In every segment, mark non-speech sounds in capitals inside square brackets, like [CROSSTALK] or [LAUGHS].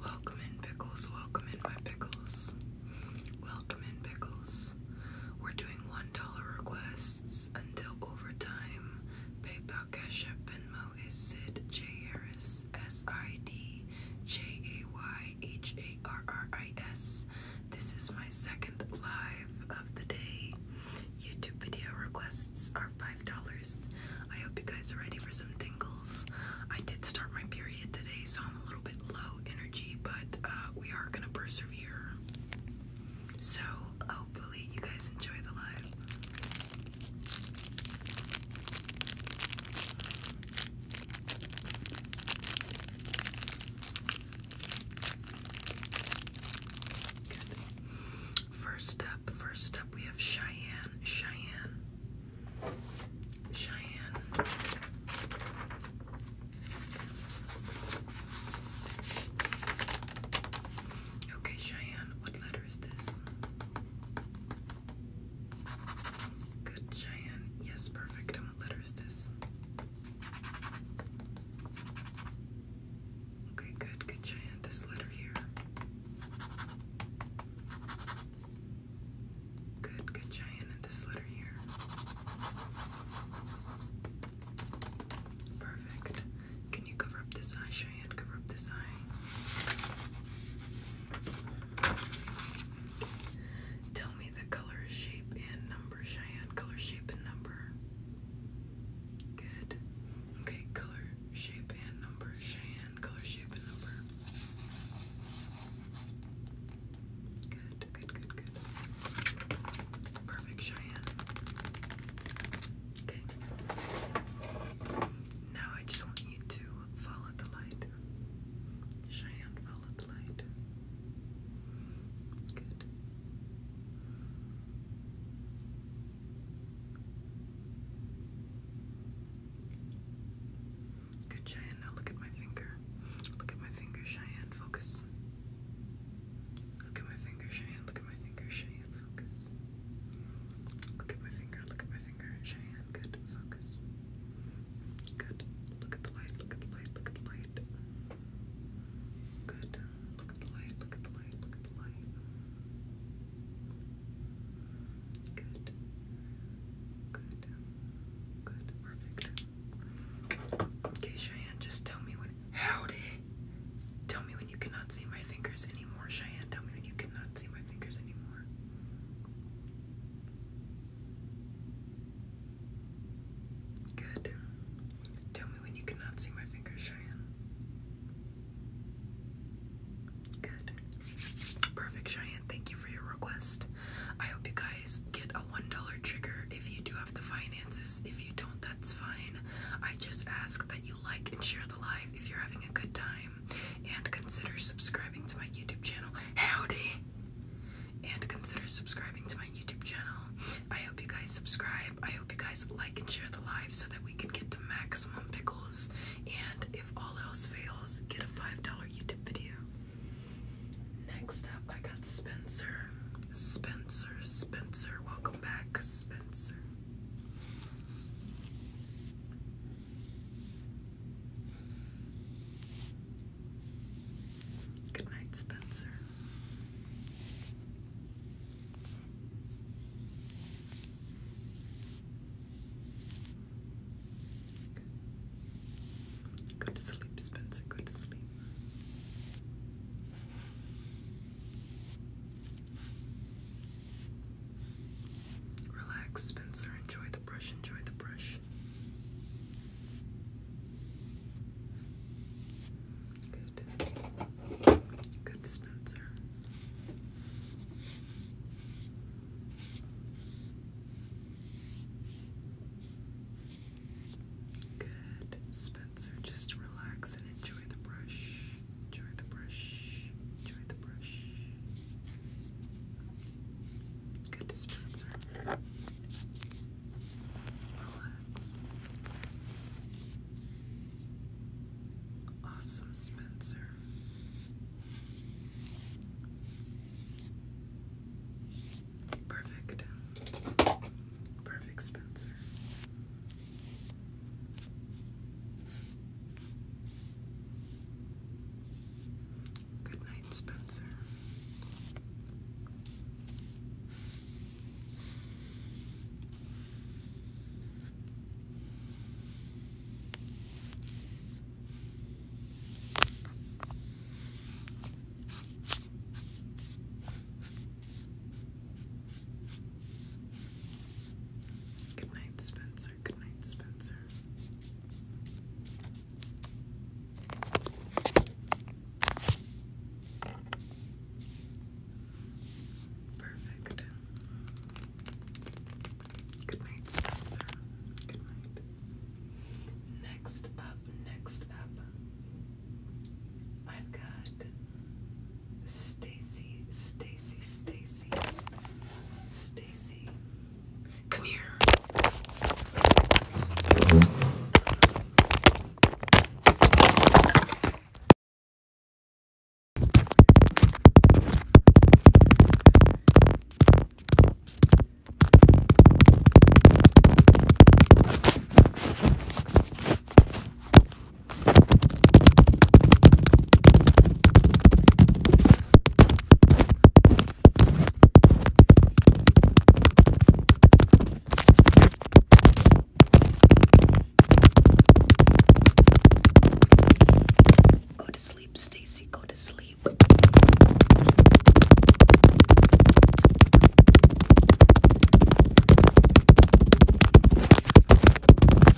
Welcome in pickles, welcome in my pickles. Welcome in pickles. We're doing $1 requests until overtime. PayPal, Cash App, Venmo, is Sid J. Harris, S I D J A Y H A R R I S. This is my second live of the day. YouTube video requests are $5. I hope you guys are ready for some tingles. I did start my period today, so I'm a little bit low energy, but uh, we are gonna persevere. So, hopefully, you guys enjoy the live. First up, first up, we have Cheyenne, Cheyenne, Cheyenne. Okay, Cheyenne, what letter is this? Good, Cheyenne. Yes, perfect. And what letter is this? Okay, good, good, Cheyenne. This letter here. Good, good, Cheyenne. this letter here. Perfect. Can you cover up this eye, Cheyenne? Cover up this eye. Tell me the color, shape, and number, Cheyenne. Color, shape, and number. Good. Okay, color, shape, and number, Cheyenne. Color, shape, and number. Good, good, good, good. Perfect, Cheyenne. Okay now I just want you to follow the light. Cheyenne, follow the light. Good. Good, Cheyenne. Now look at my finger. Look at my finger, Cheyenne. Focus. Look at my finger, Cheyenne. Look at my finger, Cheyenne focus. Look at my finger, look at my finger. Cheyenne, good, focus. Good. Look at the light, look at the light, look at the light. Good. Look at the light, look at the light, look at the light. Good. Good. Good. Perfect. Okay, Cheyenne, just tell me when. Howdy! Tell me when you cannot see my fingers anymore anymore. Cheyenne, tell me when you cannot see my fingers anymore. Good. Tell me when you cannot see my fingers, Cheyenne. Good. Perfect, Cheyenne. Thank you for your request. I hope you guys get a $1 trigger if you do have the finances. If you don't, that's fine. I just ask that you like and share the live if you're having a good time and consider subscribing to my YouTube channel. Howdy! And consider subscribing to my YouTube channel. I hope you guys subscribe. I hope you guys like and share the live so that we can get to maximum pickles. And if all else fails, get a $5 YouTube video. Next up, I got Spencer. Spencer, Spencer. Welcome back, Spencer. Good night, Spencer. Good to sleep, Spencer. Good to sleep. Relax, Spencer. Enjoy the brush. Enjoy the brush. Good. Good, Spencer. Good, Spencer. Just relax and enjoy the brush. Try the brush. Try the brush. Good dispenser. Relax. Awesome, Spencer. Perfect. Perfect, Spencer. Good night, Spencer. Good night, Spencer. Spencer. Good night, Spencer. Perfect. Good night, Spencer. Good night. Next up, next up, I've got Stacy, Stacy, Stacy, Stacy. Come here. Go to sleep, Stacy. Go to sleep.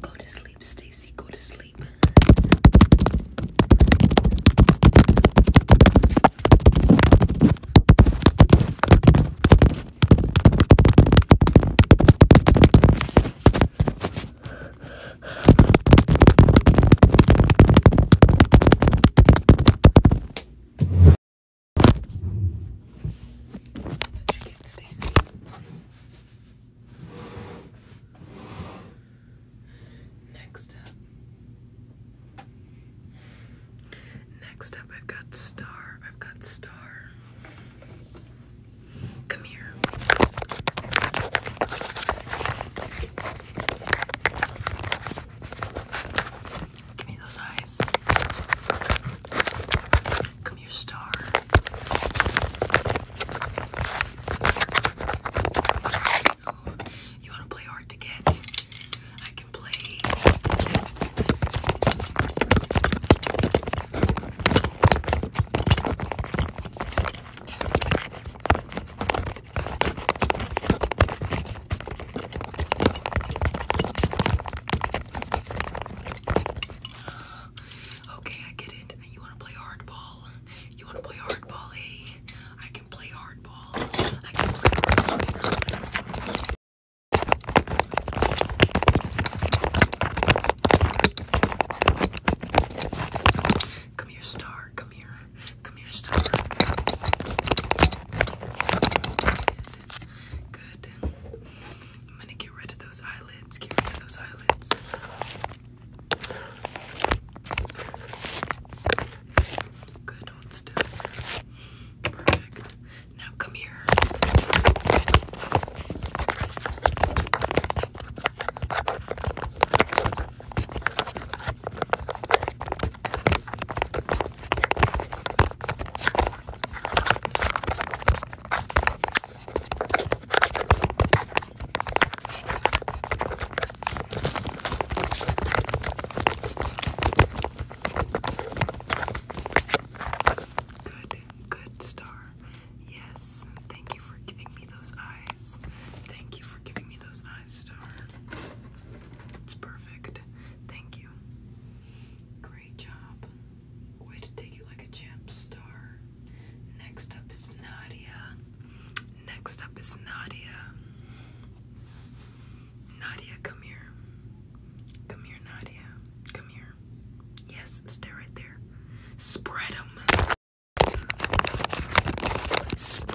Go to sleep, Stacy. Go to sleep. That's what you get, Stacey. Next up. Next up, I've got Star. I've got Star. Come here. Give me those eyes. Come here, Star you. want to play hard to get? I can play. Okay, I get it. You want to play hardball? You want to eh? play hardball, I can play hardball. Come here, star. Come here. Come here, star. Good. I'm gonna get rid of those eyelids. Get rid of those eyelids. Good, hold still. Perfect. Now come here. Good, good star. Yes, thank you for giving me those eyes. Thank you for giving me those eyes, star. It's perfect. Thank you. Great job. Way to take it like a champ, star. Next up is Nadia. Next up is Nadia. Nadia, come here. Come here, Nadia. Come here. Yes, stay right there. Spread them. Spread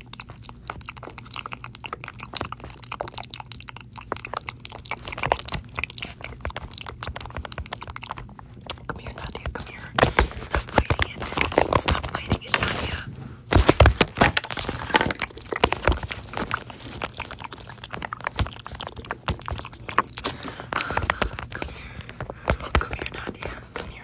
Come here, Nadia. Come here. Stop biting it. Stop biting it, Nadia. Come here. Oh, come here, Nadia. Come here.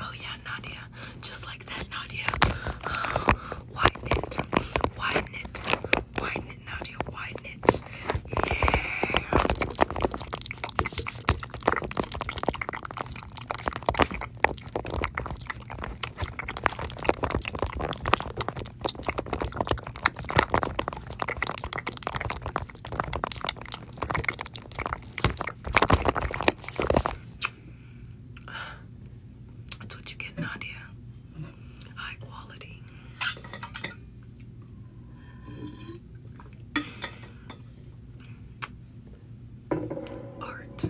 Oh yeah, Nadia. Just like that, Nadia. [GASPS] Widen it. Widen it. Widen it, Nadia. Widen it. Yeah. That's what you get, Nadia. High quality. Art.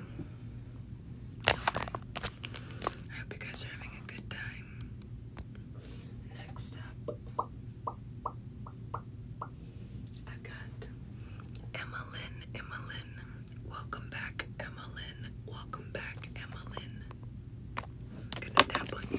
I hope you guys are having a good time. Next up, i got Emmalyn. Emmalyn, welcome back, Emmalyn. Welcome back, Emmalyn. gonna tap on you.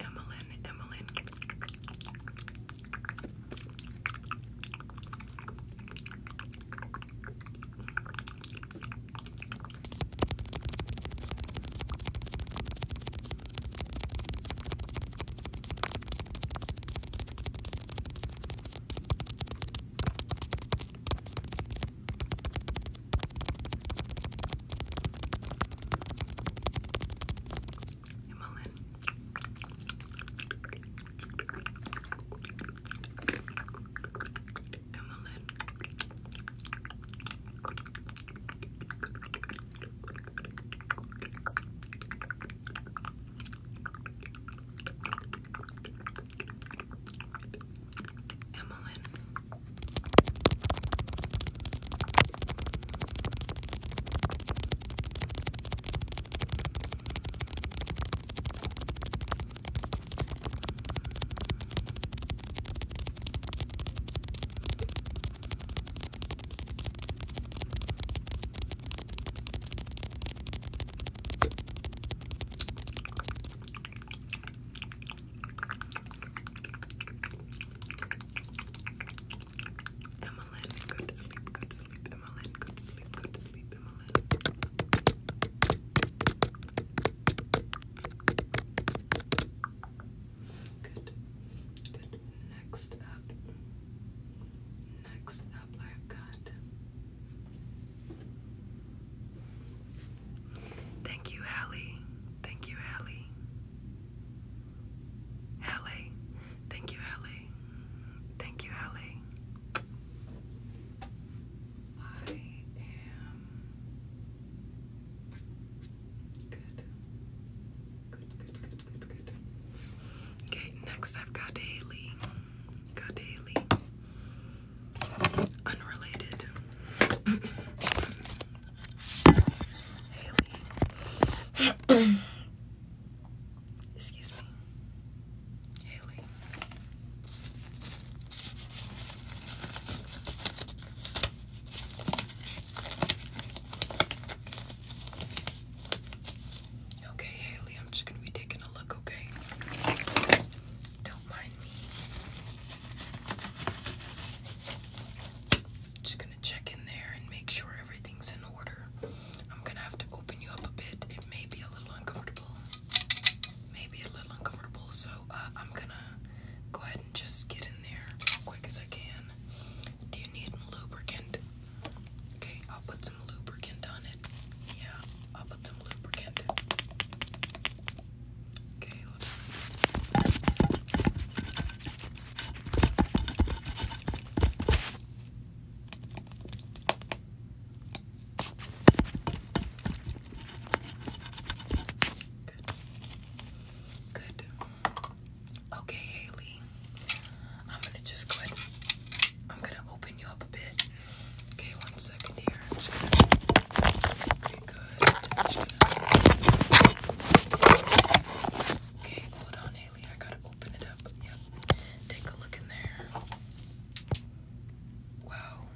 Emmeline, Emmeline. Hey, Mullen. Emmeline. Emmeline. Emmeline, go to sleep, go to sleep, Emmeline, go to sleep, go to sleep, Emmeline. Good. Good. Next up next I've got. Thank you, Hallie. Thank you, Hallie. Hallie. Thank you, Hallie. Thank you, Hallie. I am good. Good, good, good, Okay, next I've got Haley. Got Haley. Unrelated. Haley. Excuse me. Haley. Okay, Haley, I'm just gonna be taking a look, okay? Don't mind me. Just gonna check in there and make sure everything's in order. I'm gonna have to open you up a bit. It may be a little uncomfortable. Maybe a little uncomfortable, so uh, I'm gonna go ahead and just get in there quick as I can. Do you need lubricant? Okay, I'll put some lubricant on it. Yeah, I'll put some lubricant. Okay, Good. Good. Okay, Haley. I'm gonna just go ahead. I'm gonna open you up a bit. Okay, one second here. I'm just gonna... Okay, good. Okay, hold on, Haley. I gotta open it up. Yep. Take a look in there. Wow.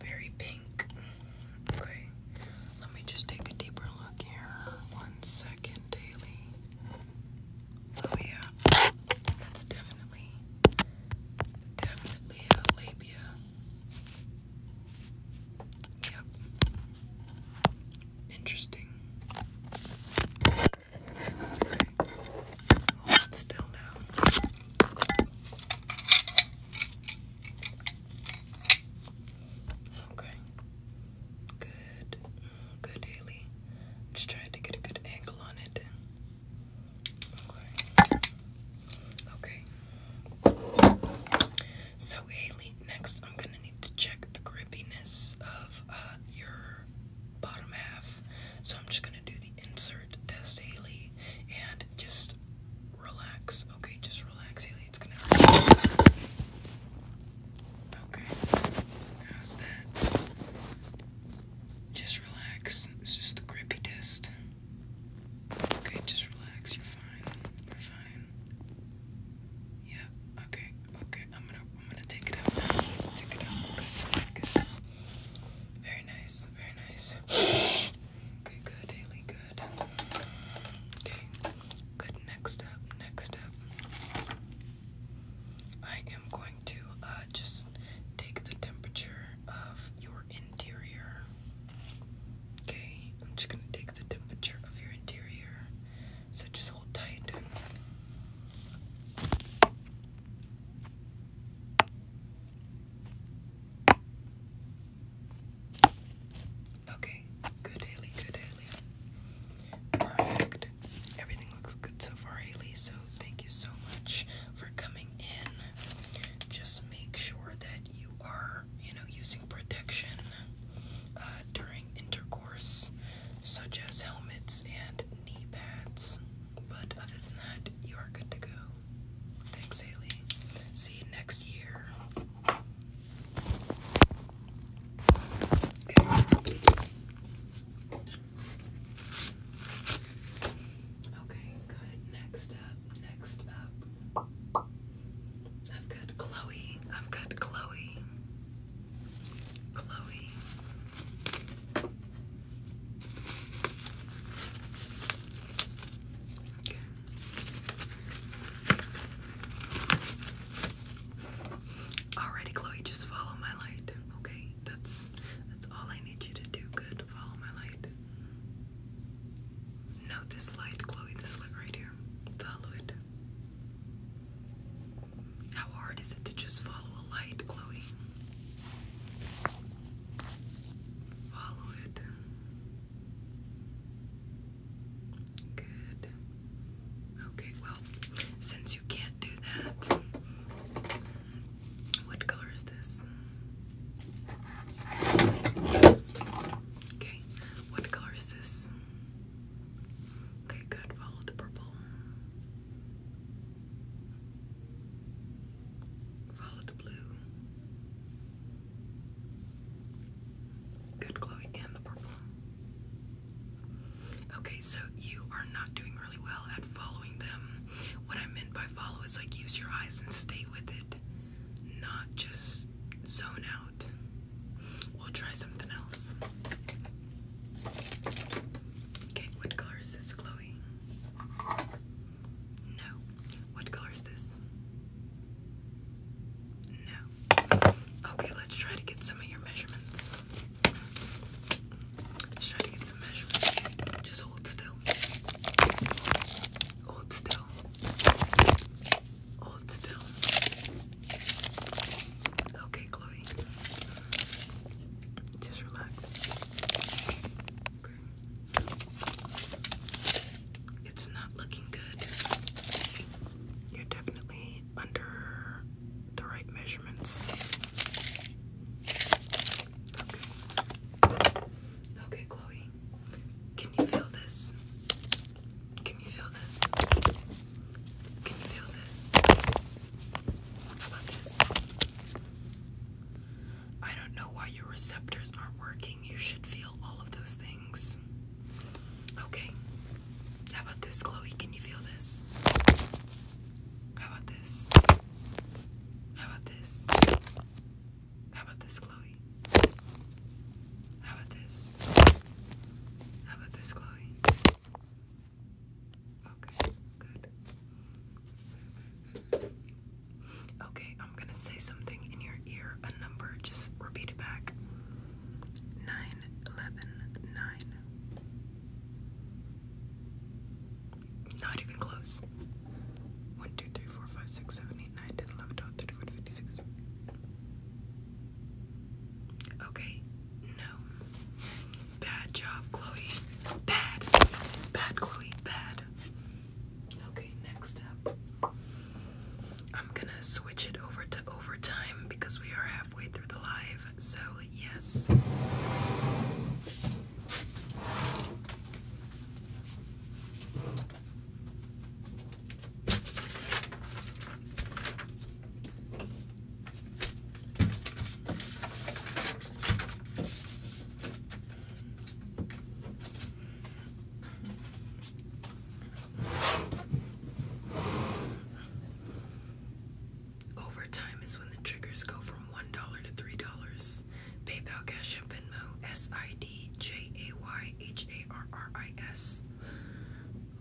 Very pink. Okay. Let me just take a deeper look here. One second. Oh yeah, that's definitely, definitely a labia. Yep. Interesting. Hold still now. Okay. Good. Good, Haley. Just trying to get a good angle on it. Okay. So, Haley, next I'm going to need to check the grippiness of uh, your bottom half. So, I'm just going to do the insert test, Haley, and just relax. Okay, just relax, Haley. It's going to Okay. How's that? Just relax. It's just the grippy test. Okay, just relax. You're fine. You're fine. Yeah. Okay. Okay. I'm gonna. I'm gonna take it out. Take it out. Good. Very nice. Very nice. Okay. Good. Haley. Good. Okay. Good. Next up. Next up. I am going to uh, just take the temperature of your interior. Okay, I'm just going to take the temperature of your interior. So just hold tight. Okay, good Haley, good Haley. Perfect. Everything looks good so far, Haley, so thank you so much for coming in. Just make sure that you are, you know, using protection uh, during intercourse, such as helmets and knee pads. But other than that, you are good to go. Thanks, Haley. See you next year. Okay. good. Next up, next up. I've got Chloe. I've got Chloe. Chloe. Alrighty, Chloe, just follow my light, okay? That's that's all I need you to do. Good, follow my light. No, this light, Chloe, this light right here. Follow it. How hard is it to just follow a light, Chloe? Follow it. Good. Okay, well, since you can't do that, what color is this? Okay, what color is this? Okay, good. Follow the purple. Follow the blue. Good, Chloe, and the purple. Okay, so you are not doing really well at following them. What I meant by follow is like use your eyes and stay with it, not just zone out. We'll try something else. Okay, what color is this, Chloe? No. What color is this? No. Okay, let's try to get some of your measurements. Just hold still. Hold still. Hold still. Okay, Chloe. Just relax. It's not looking good. You're definitely under the right measurements. Okay. Chloe. Can you feel this? Can you feel this? Can you feel this? I don't know why your receptors aren't working. You should feel all of those things. Okay. How about this, Chloe? Can you feel this? How about this? How about this? How about this, Chloe? How about this? How about this, Chloe? Okay, good. Okay, I'm gonna say something in your ear, a number, just repeat it back nine eleven nine. Not even close. 1, Okay, no. Bad job, Chloe. Bad. Bad, Chloe. Bad. Okay, next up. I'm gonna switch it over to overtime because we are having halfway through the live, so yes. Overtime is when the triggers go from $1 to $3. PayPal, Cash App, Venmo, S-I-D-J-A-Y-H-A-R-R-I-S.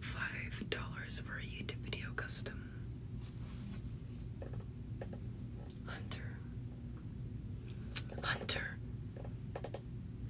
$5 for a YouTube video custom. Hunter. Hunter.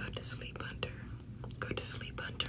Go to sleep, Hunter. Go to sleep, Hunter.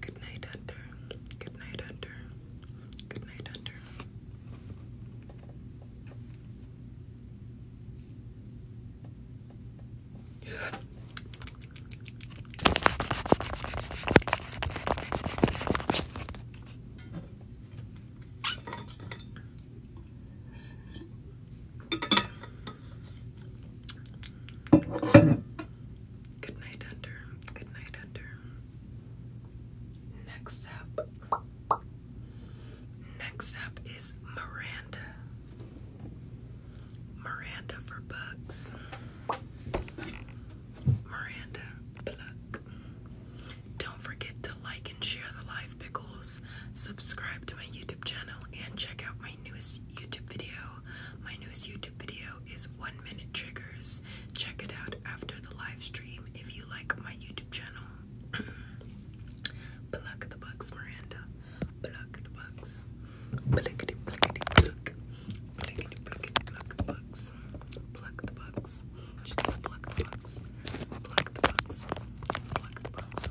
Good night, Hunter. Good night, Hunter. Good night, Hunter. Good night, Hunter. Good night, Hunter. Next up. Next up is Miranda. Miranda for bugs. Miranda Don't forget to like and share the live pickles. Subscribe to my YouTube channel and check out my newest YouTube video. My newest YouTube video is 1 Minute Triggers. Check it out after the live stream if you like my YouTube channel. [CLEARS THROAT] pluck the bugs, Miranda. Pluck the bugs. pluck. Pluckity, pluckity, pluck the bugs. Pluck the bugs. pluck the bugs. Pluck the bugs. Pluck the bugs.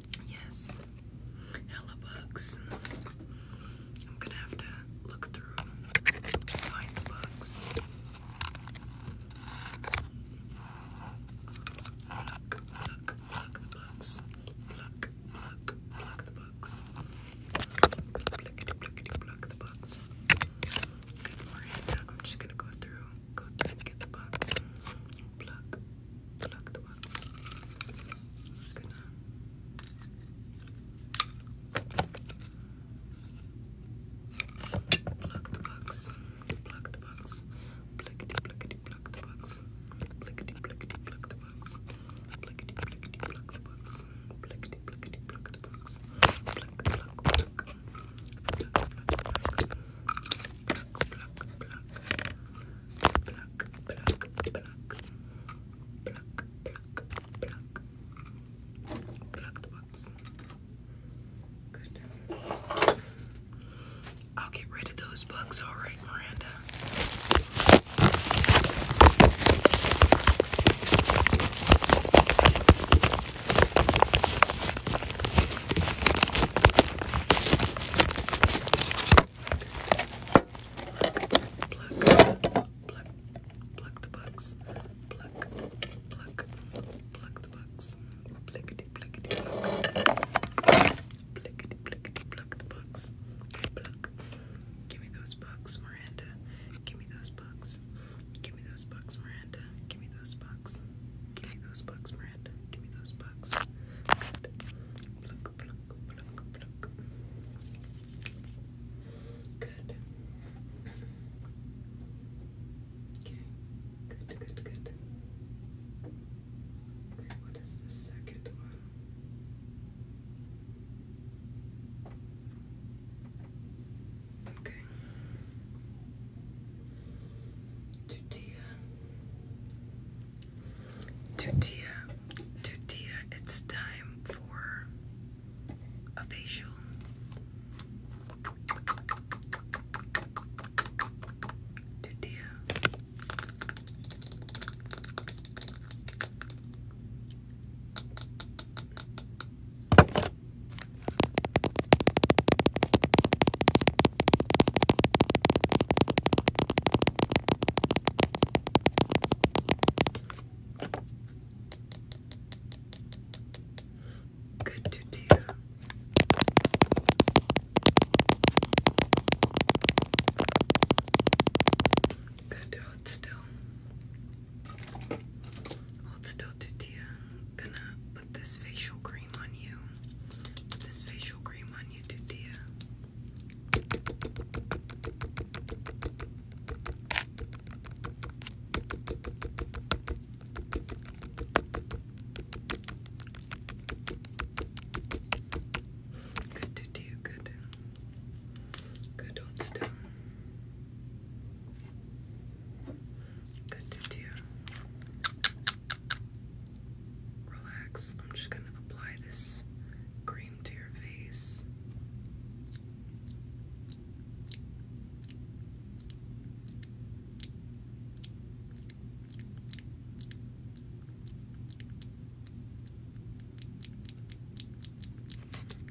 Yes, hella bugs. I'm gonna have to look through find the bugs. Pluck, pluck, pluck the bugs. Pluck, pluck, pluck the bugs. Pluckity, pluckity, pluck the bugs. Good morning. I'm just gonna go through, go through and get the bugs. Pluck, Plug the wax. I'm gonna the box, plug the box, blickety blickety plug the box, blickety blickety plug the box, blickety blickety plug the box, blickety blickety plug the box, pluck pluck pluck, pluck pluck pluck, pluck pluck pluck, I'll get rid of those bugs, alright, Miranda. Pluck, pluck, pluck the bugs. Pluck, pluck, pluck the bugs. Blickety, blickety, pluck. Blickety, blickety, pluck the bugs. pluck. Give me those bugs, Miranda. Give me those bugs. Give me those bugs, Miranda. Give me those bugs. Give me those bugs, Miranda. Give me those bugs. Pluck, pluck, pluck, pluck. Good. Okay. Good, good, good. Okay, what is the second one? Okay. Judea. Tutia, Tutia, it's time for a facial. Tutia. Good to do. Good to hold still. Hold still, Gonna put this facial cream on you. Put this facial cream on you, Tutia. Good to do, good. Good old stuff. Good to do relax. I'm just going to apply this cream to your face.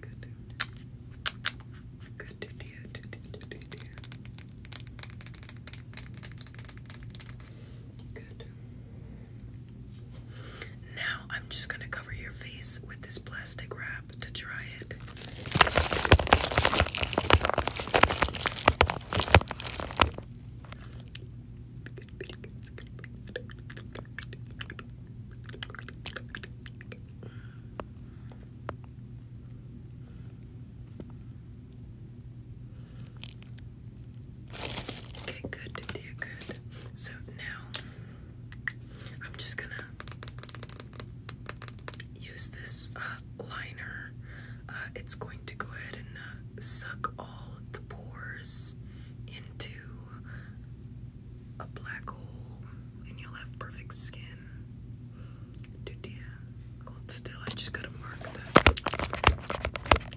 Good. Good, dear. Now I'm just going to cover your face with this plastic wrap to dry it. Okay, good, dear, good. So now I'm just gonna use this uh, liner. Uh, it's going to go ahead and uh, suck all the pores into a black hole, and you'll have perfect skin. Dear, hold still. I just gotta mark that.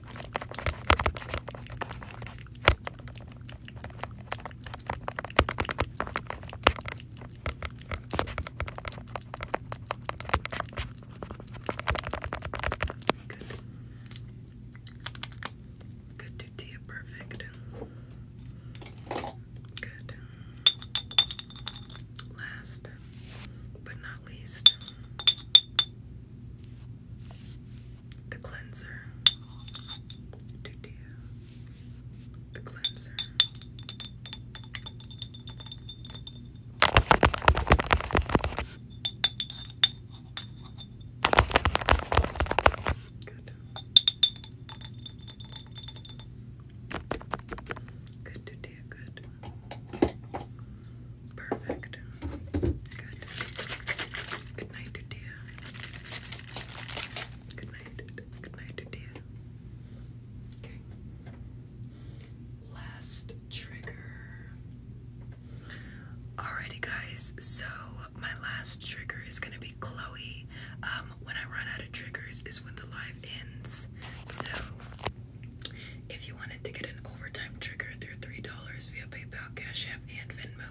Good to tea, perfect. Good. Last but not least, the cleanser, Dutia, the cleanser. Good. Good, Dutia, good. Perfect. Good. night, dear. Good night. Good night, dear. Okay. Last trigger. Alrighty, guys. So my last trigger is gonna be Chloe. Um, when I run out of triggers is when the live ends. So if you wanted to get an overtime trigger through $3 via PayPal, Cash App, and Venmo,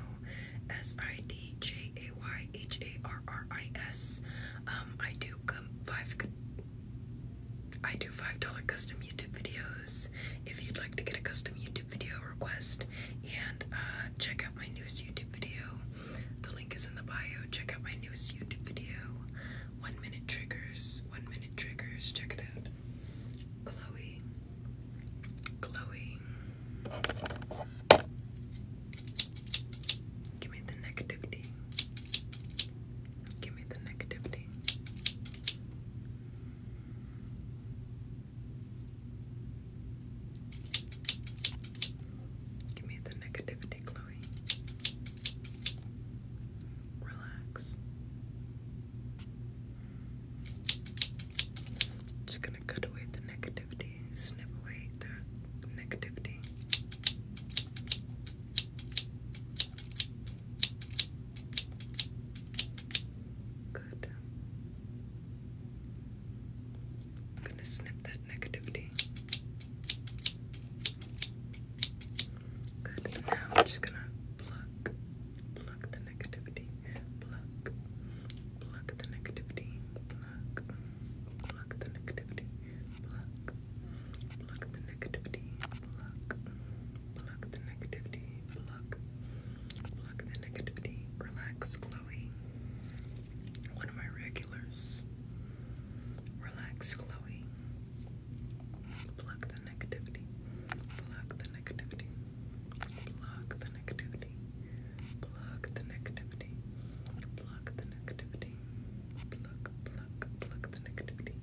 S I D J A Y H A R R I S, um, I do five. I do $5 custom YouTube videos if you'd like to get a custom YouTube video request and uh, check out my newest YouTube video. The link is in the bio. Check out my newest YouTube video. One minute triggers. One minute triggers. Check it out. Chloe Chloe. Give me the negativity. Give me the negativity. Give me the negativity, Chloe. Relax. Just gonna cut away the negativity, snip away the negativity. Good. I'm gonna snip that negativity. Good. now I'm just gonna pluck, pluck the negativity, pluck, pluck the negativity, pluck, pluck the negativity, pluck, pluck the negativity, pluck, pluck the negativity. Relax, Chloe. One of my regulars. Relax, Chloe. Block the negativity. Block the negativity. Block the negativity. Block the negativity. Block the negativity. Block, block, block the negativity.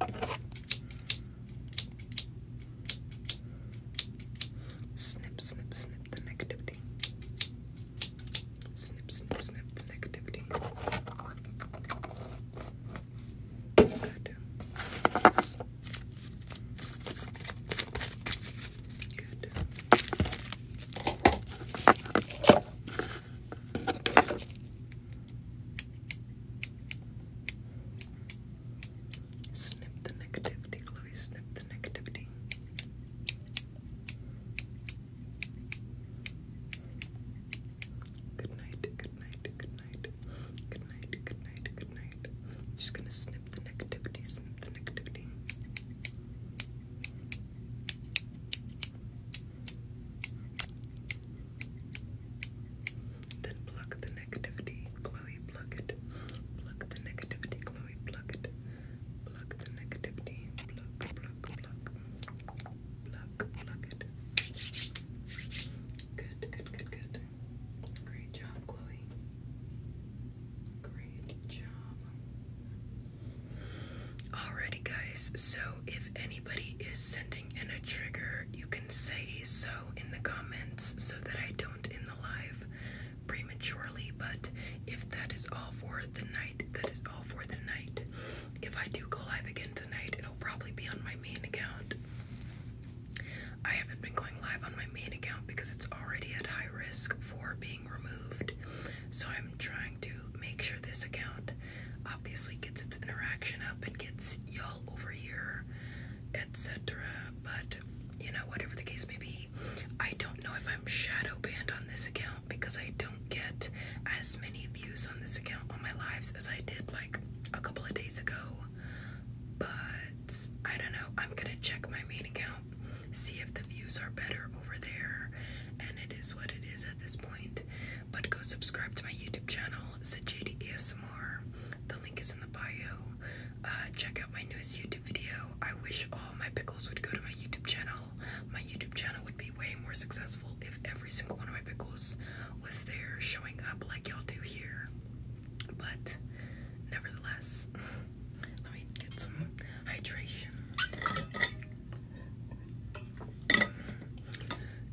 Snip, snip, snip the negativity. Snip, snip, snip the negativity. Snip the negativity, Chloe. Snip the negativity. Good night. Good night. Good night. Good night. Good night. Good night. I'm just gonna snip the negativity. Snip the negativity. Then pluck the negativity, Chloe. Pluck it. Pluck the negativity, Chloe. Pluck it. Pluck the negativity. Pluck, pluck, pluck. Pluck, pluck it. Good, good, good, good. Great job, Chloe. Great job. Alrighty, guys. So, if anybody is sending in a trigger, you can say so in the comments so that I don't in the live prematurely. But if that is all for the night, that is all for the night. If I do go live again tonight, it'll probably be on my main account. I haven't been going live on my main account because it's already at high risk for being removed. So I'm trying to make sure this account obviously gets its interaction up and gets y'all over here, etc. But you know, whatever the case may be, I don't know if I'm shadow banned on this account because I don't get as many views on this account on my lives as I did like a couple of days ago but I don't know. I'm gonna check my main account, see if the views are better over there, and it is what it is at this point. But go subscribe to my YouTube channel, Sajidi ASMR. The link is in the bio. Uh, check out my newest YouTube video. I wish all my pickles would go to my YouTube channel. My YouTube channel would be way more successful if every single one of my pickles was there showing up like y'all do here. But nevertheless, [LAUGHS] let me get some hydration.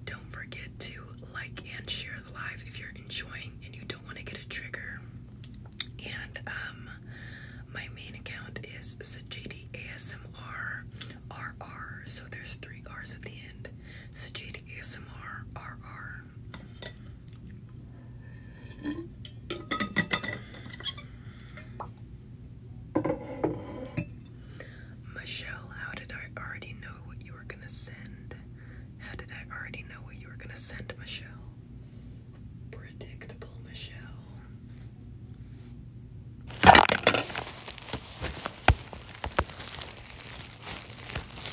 Don't forget to like and share the live if you're enjoying and you don't want to get a trigger. And um, my main account is Sajidi ASMR RR. So there's three R's at the end. Sajid ASMR RR. Michelle, how did I already know what you were gonna send? How did I already know what you were gonna send, Michelle? Predictable, Michelle.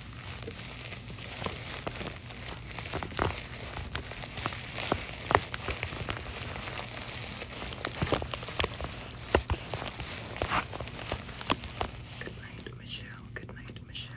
Good night, Michelle. Good night, Michelle.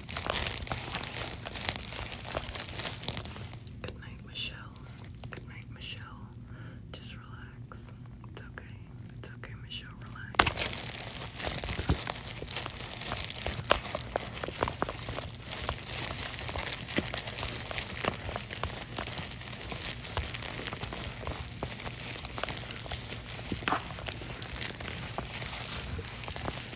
Good night, Michelle. Good night, Michelle. Just relax. It's okay. It's okay, Michelle. Relax.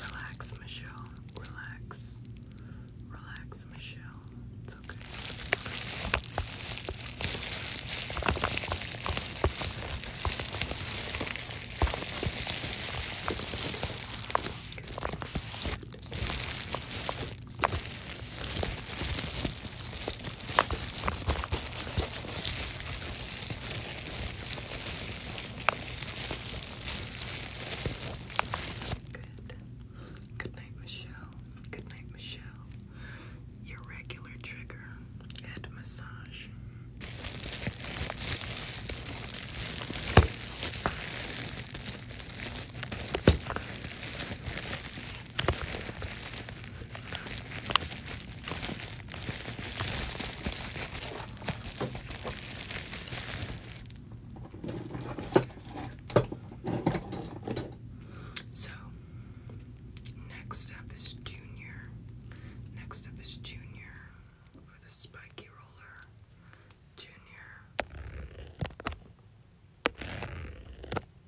Relax, Michelle. Relax. Relax, Michelle. It's okay. Good. Good. Good night, Michelle. Good night, Michelle. Your regular trigger and massage. So, next up is Junior. Next up is Junior for the spiky roller. Junior.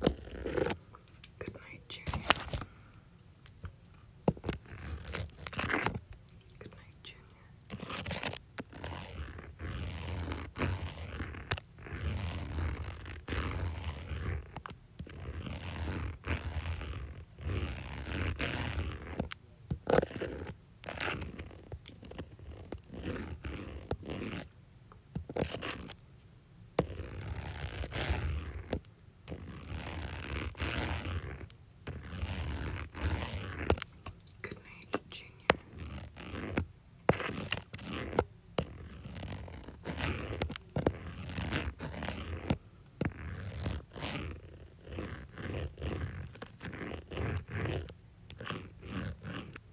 Good night, Junior. Good night, Junior. Good night, Junior.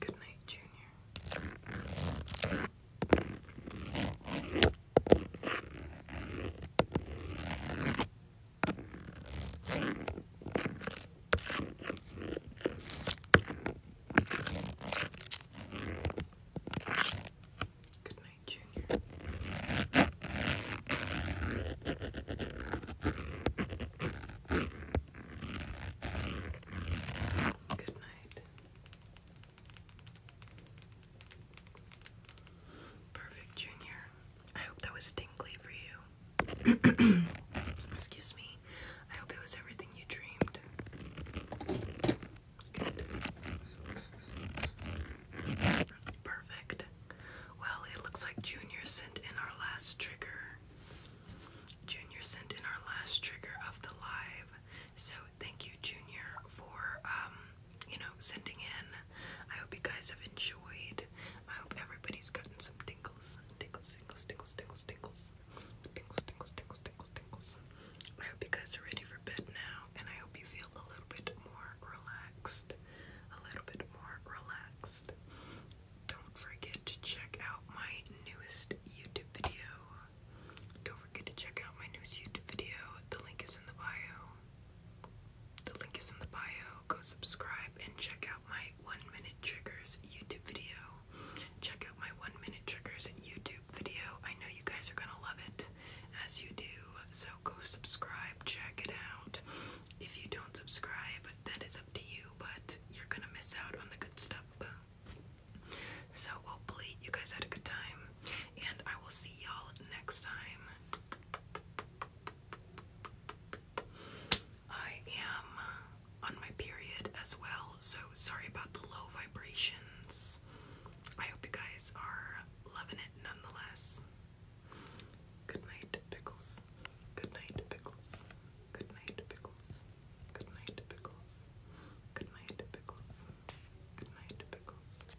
Good night, Junior. Good night, Junior. Good night. Perfect, Junior. I hope that was tingly for you. [CLEARS THROAT] Excuse me. I hope it was everything you dreamed. Perfect. Well, it looks like Junior sent in our last trigger. Junior sent in our last trigger of the live. So thank you, Junior, for um you know, sending in. I hope you guys have enjoyed. I hope everybody's gotten some tingles. Tingles, tingles, tingles, tingles, tingles. Tingles, tingles, tingles, tingles, tingles. I hope you guys are ready for bed now, and I hope you feel a little bit more relaxed. A little bit more relaxed. Don't forget to check out my newest YouTube video. Don't forget to check out my newest YouTube video. The link is in the bio. The link is in the bio. Go subscribe and check out my one minute triggers YouTube video. Check out my one minute triggers YouTube video. I know you guys are gonna love it as you do. So go subscribe, check it out. If you don't subscribe, that is up to you, but you're gonna miss out on the good stuff. So hopefully you guys had a good time, and I will see y'all next time. I am on my period as well, so sorry about the low vibrations. I hope you guys are loving it nonetheless. Good night, pickles. Good night, pickles. Good night, pickles. Good night, pickles. Good night, pickles. Good night, pickles.